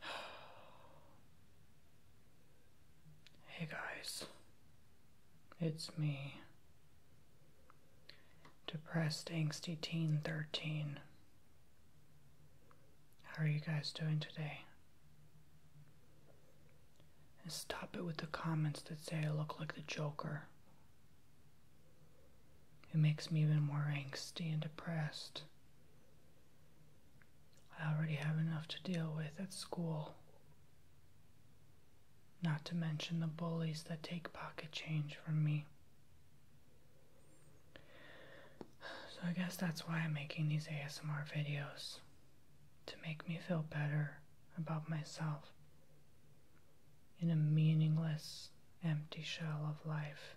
hey guys, it's me, Depressed Angsty Teen 13. How are you guys doing today? And stop it with the comments that say I look like the Joker. It makes me even more anxious and depressed. I already have enough to deal with at school. Not to mention the bullies that take pocket change from me. So I guess that's why I'm making these ASMR videos. To make me feel better about myself in a meaningless, empty shell of life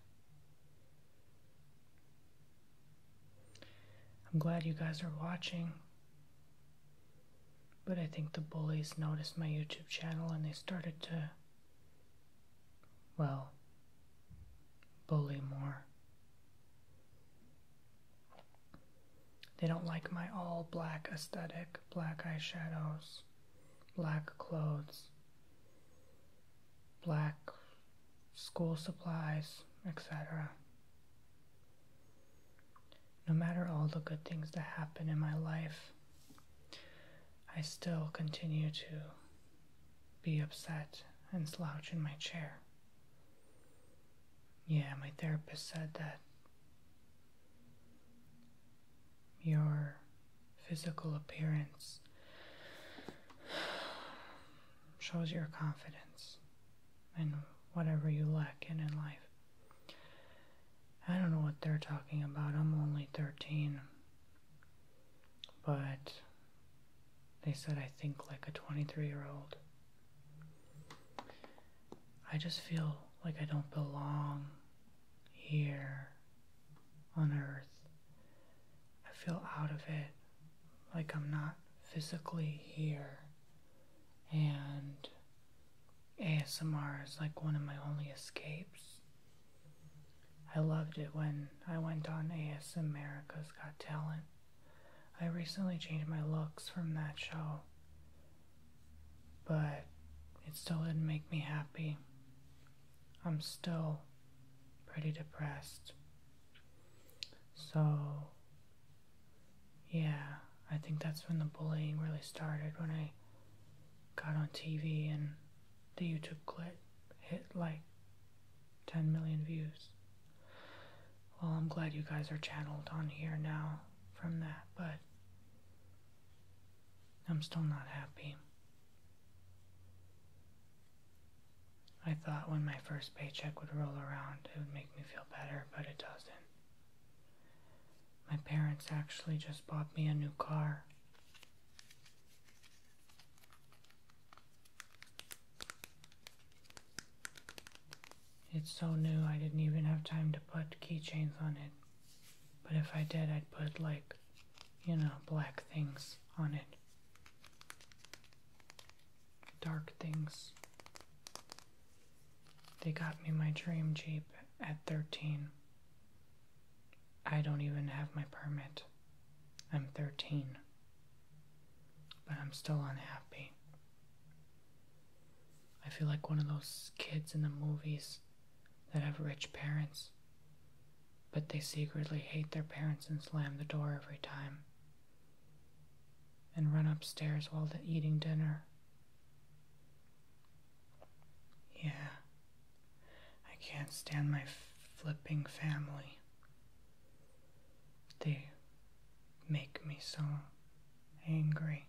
I'm glad you guys are watching. But I think the bullies noticed my YouTube channel and they started to, well, bully more. They don't like my all black aesthetic, black eyeshadows, black clothes black school supplies, etc. No matter all the good things that happen in my life, I still continue to be upset and slouch in my chair. Yeah, my therapist said that your physical appearance shows your confidence and whatever you lack in in life. I don't know what they're talking about. I'm only 13. But they said I think like a 23 year old. I just feel like I don't belong here on earth. I feel out of it, like I'm not physically here. And ASMR is like one of my only escapes. I loved it when I went on AS America's Got Talent. I recently changed my looks from that show, but it still didn't make me happy. I'm still pretty depressed. So, yeah, I think that's when the bullying really started when I got on TV and the YouTube clip hit like 10 million views. Well, I'm glad you guys are channeled on here now from that, but I'm still not happy. I thought when my first paycheck would roll around, it would make me feel better, but it doesn't. My parents actually just bought me a new car. It's so new, I didn't even have time to put keychains on it. But if I did, I'd put like, you know, black things on it. Dark things. They got me my dream Jeep at 13. I don't even have my permit. I'm 13. But I'm still unhappy. I feel like one of those kids in the movies that have rich parents, but they secretly hate their parents and slam the door every time, and run upstairs while they're eating dinner. Yeah, I can't stand my flipping family. They make me so angry.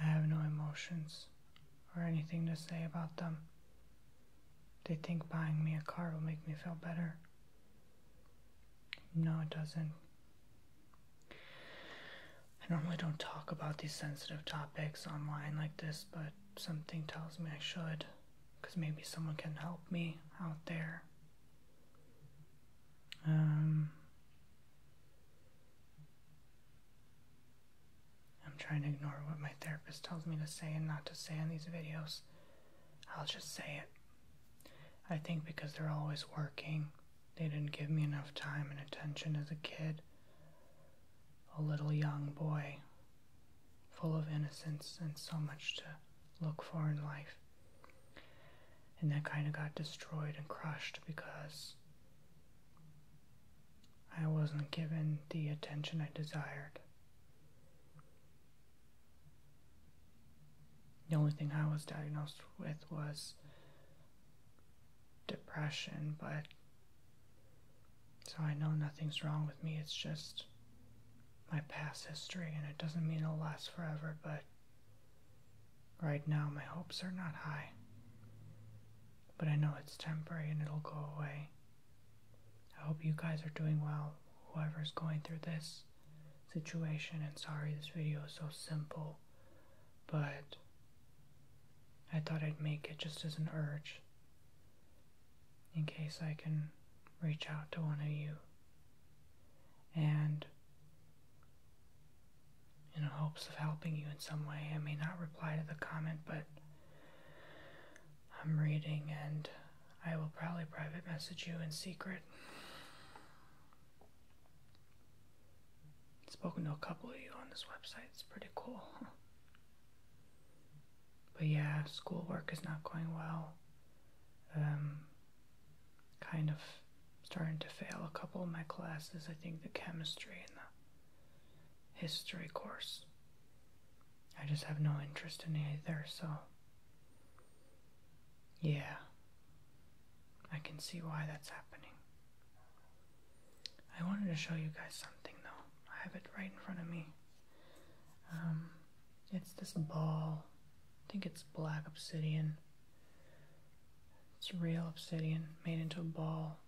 I have no emotions or anything to say about them. They think buying me a car will make me feel better. No, it doesn't. I normally don't talk about these sensitive topics online like this, but something tells me I should, because maybe someone can help me out there um, I'm trying to ignore what my therapist tells me to say and not to say in these videos. I'll just say it. I think because they're always working, they didn't give me enough time and attention as a kid. A little young boy, full of innocence and so much to look for in life. And that kind of got destroyed and crushed because I wasn't given the attention I desired. The only thing I was diagnosed with was depression, but so I know nothing's wrong with me. It's just my past history, and it doesn't mean it'll last forever, but Right now, my hopes are not high, but I know it's temporary and it'll go away. I hope you guys are doing well, whoever's going through this situation. And sorry, this video is so simple, but I thought I'd make it just as an urge in case I can reach out to one of you and in hopes of helping you in some way. I may not reply to the comment, but I'm reading and I will probably private message you in secret. spoken to a couple of you on this website, it's pretty cool. But yeah, school work is not going well um, kind of starting to fail a couple of my classes. I think the chemistry and the history course. I just have no interest in either, so yeah, I can see why that's happening. I wanted to show you guys something though. I have it right in front of me. Um, it's this ball. I think it's black obsidian. It's real obsidian made into a ball.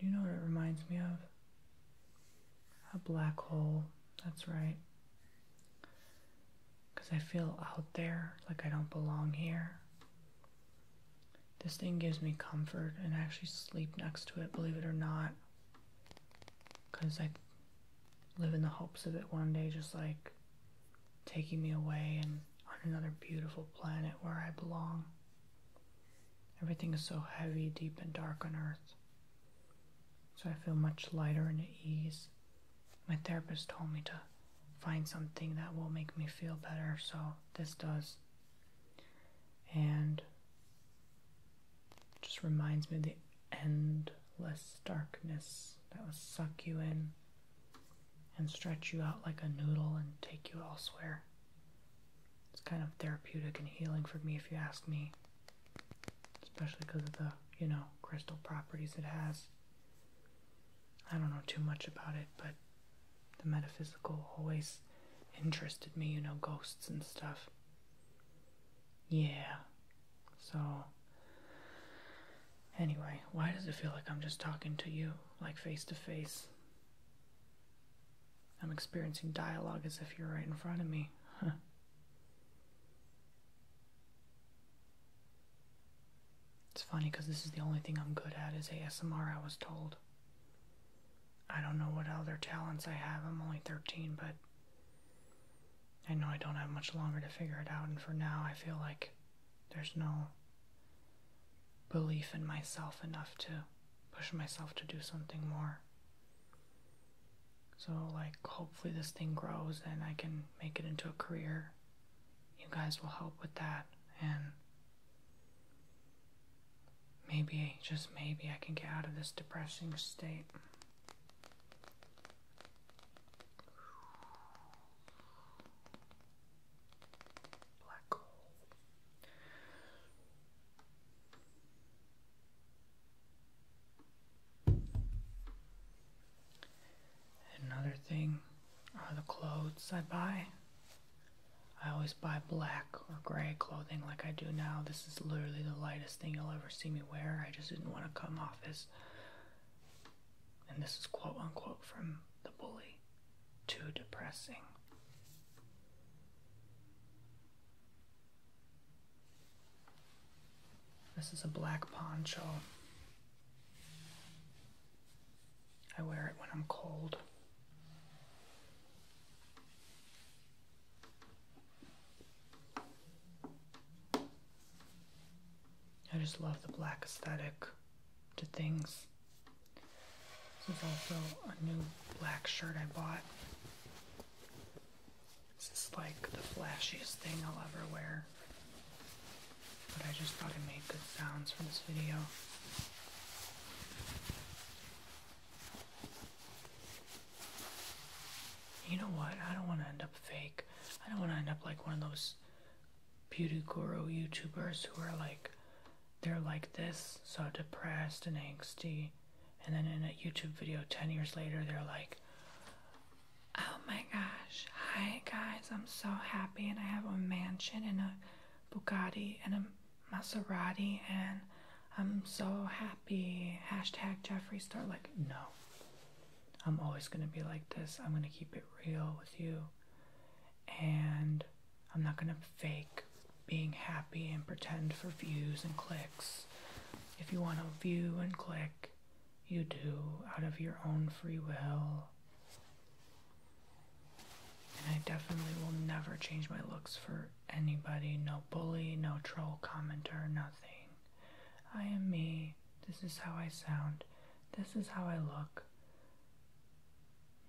you know what it reminds me of? A black hole. That's right. Because I feel out there like I don't belong here. This thing gives me comfort and I actually sleep next to it, believe it or not. Because I live in the hopes of it one day just like taking me away and on another beautiful planet where I belong. Everything is so heavy, deep, and dark on earth. So I feel much lighter and at ease. My therapist told me to find something that will make me feel better, so this does. And just reminds me of the endless darkness that will suck you in and stretch you out like a noodle and take you elsewhere. It's kind of therapeutic and healing for me, if you ask me. Especially because of the, you know, crystal properties it has. I don't know too much about it, but the metaphysical always interested me, you know, ghosts and stuff. Yeah, so, anyway, why does it feel like I'm just talking to you, like face to face? I'm experiencing dialogue as if you're right in front of me. It's funny because this is the only thing I'm good at is ASMR, I was told. I don't know what other talents I have. I'm only 13, but I know I don't have much longer to figure it out, and for now, I feel like there's no belief in myself enough to push myself to do something more. So, like, hopefully, this thing grows and I can make it into a career. You guys will help with that, and maybe, just maybe, I can get out of this depressing state. Another thing are the clothes I buy. I always buy black or gray clothing like I do now. This is literally the lightest thing you'll ever see me wear. I just didn't want to come off as. And this is quote unquote from the bully too depressing. This is a black poncho. I wear it when I'm cold. I just love the black aesthetic to things. This is also a new black shirt I bought. This is like the flashiest thing I'll ever wear. But I just thought I made good sounds for this video. You know what? I don't want to end up fake. I don't want to end up like one of those beauty guru YouTubers who are like, they're like this, so depressed and angsty. And then in a YouTube video 10 years later, they're like, oh my gosh, hi guys, I'm so happy and I have a mansion and a Bugatti and a Maserati and I'm so happy. Hashtag Jeffree Star. Like, no. I'm always going to be like this. I'm going to keep it real with you. And I'm not going to fake being happy and pretend for views and clicks. If you want to view and click, you do out of your own free will. And I definitely will never change my looks for anybody, no bully, no troll commenter, nothing. I am me. This is how I sound. This is how I look.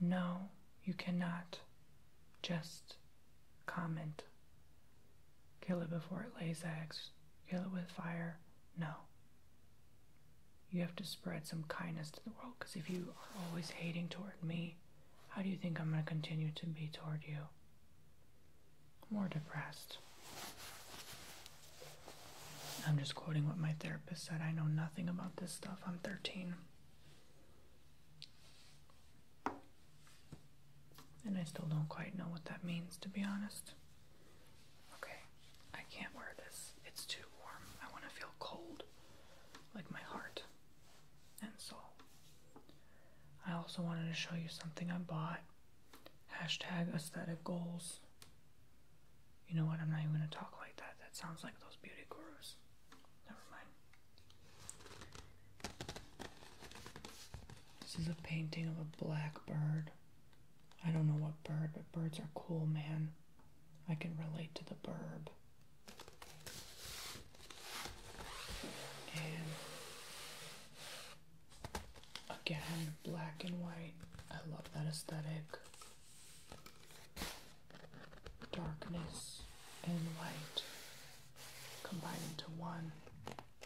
No, you cannot just comment. Kill it before it lays eggs. Kill it with fire. No. You have to spread some kindness to the world because if you are always hating toward me, how do you think I'm going to continue to be toward you? More depressed. I'm just quoting what my therapist said. I know nothing about this stuff. I'm 13. And I still don't quite know what that means, to be honest. Okay, I can't wear this. It's too warm. I want to feel cold, like my heart and so, I also wanted to show you something I bought. Hashtag aesthetic goals. You know what? I'm not even going to talk like that. That sounds like those beauty gurus. Never mind. This is a painting of a blackbird. I don't know what bird, but birds are cool, man. I can relate to the bird. And again, black and white. I love that aesthetic. Darkness and light combined into one.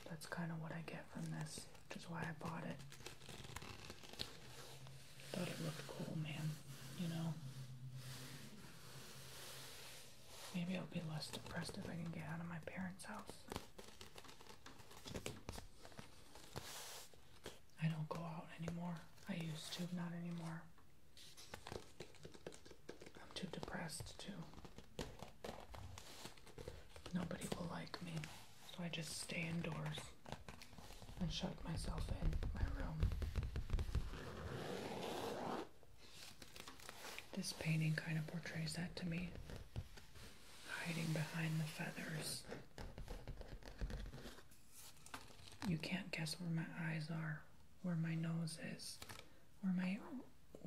That's kind of what I get from this, which is why I bought it. Thought it looked cool, man. You know? Maybe I'll be less depressed if I can get out of my parents' house. I don't go out anymore. I used to, not anymore. I'm too depressed too. Nobody will like me, so I just stay indoors. And shut myself in my room. This painting kind of portrays that to me. Hiding behind the feathers. You can't guess where my eyes are, where my nose is, where my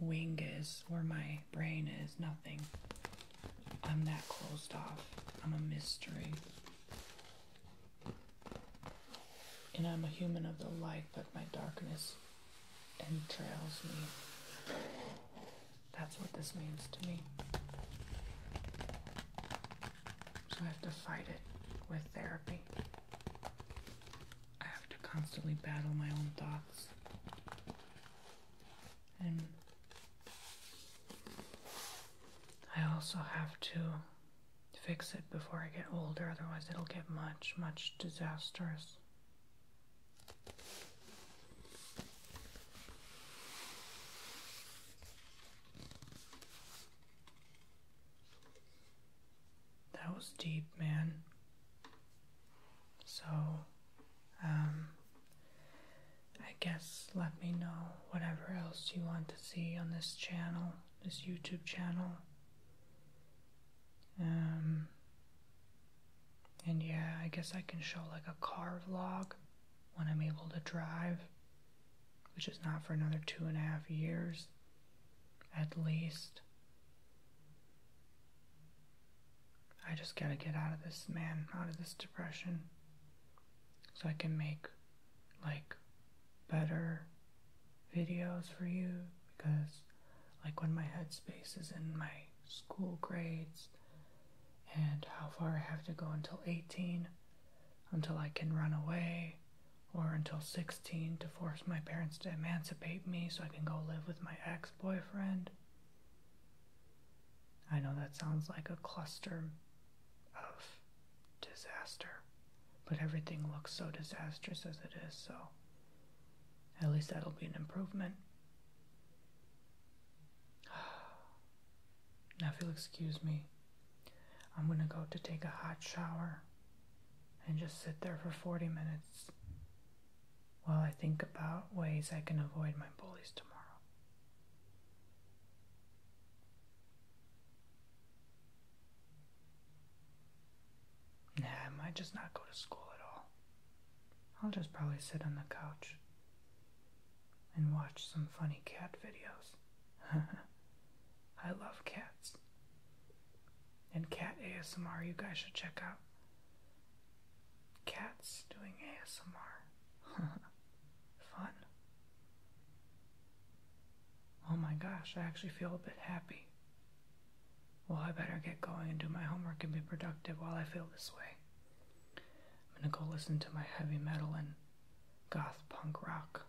wing is, where my brain is, nothing. I'm that closed off. I'm a mystery. And I'm a human of the light, but my darkness entrails me. That's what this means to me. So I have to fight it with therapy. I have to constantly battle my own thoughts. And I also have to fix it before I get older, otherwise, it'll get much, much disastrous. That was deep, man. So, um, I guess let me know whatever else you want to see on this channel, this YouTube channel. Um, and yeah, I guess I can show like a car vlog when I'm able to drive, which is not for another two and a half years at least. I just gotta get out of this, man, out of this depression so I can make like better videos for you because like when my headspace is in my school grades and how far I have to go until 18 until I can run away or until 16 to force my parents to emancipate me so I can go live with my ex-boyfriend I know that sounds like a cluster of disaster. But everything looks so disastrous as it is, so at least that'll be an improvement. Now, if you'll excuse me, I'm gonna go to take a hot shower and just sit there for 40 minutes while I think about ways I can avoid my bullies tomorrow. Nah, I might just not go to school at all. I'll just probably sit on the couch and watch some funny cat videos. I love cats. And cat ASMR, you guys should check out. Cats doing ASMR. Fun. Oh my gosh, I actually feel a bit happy. Well, I better get going and do my homework and be productive while I feel this way. I'm gonna go listen to my heavy metal and goth punk rock.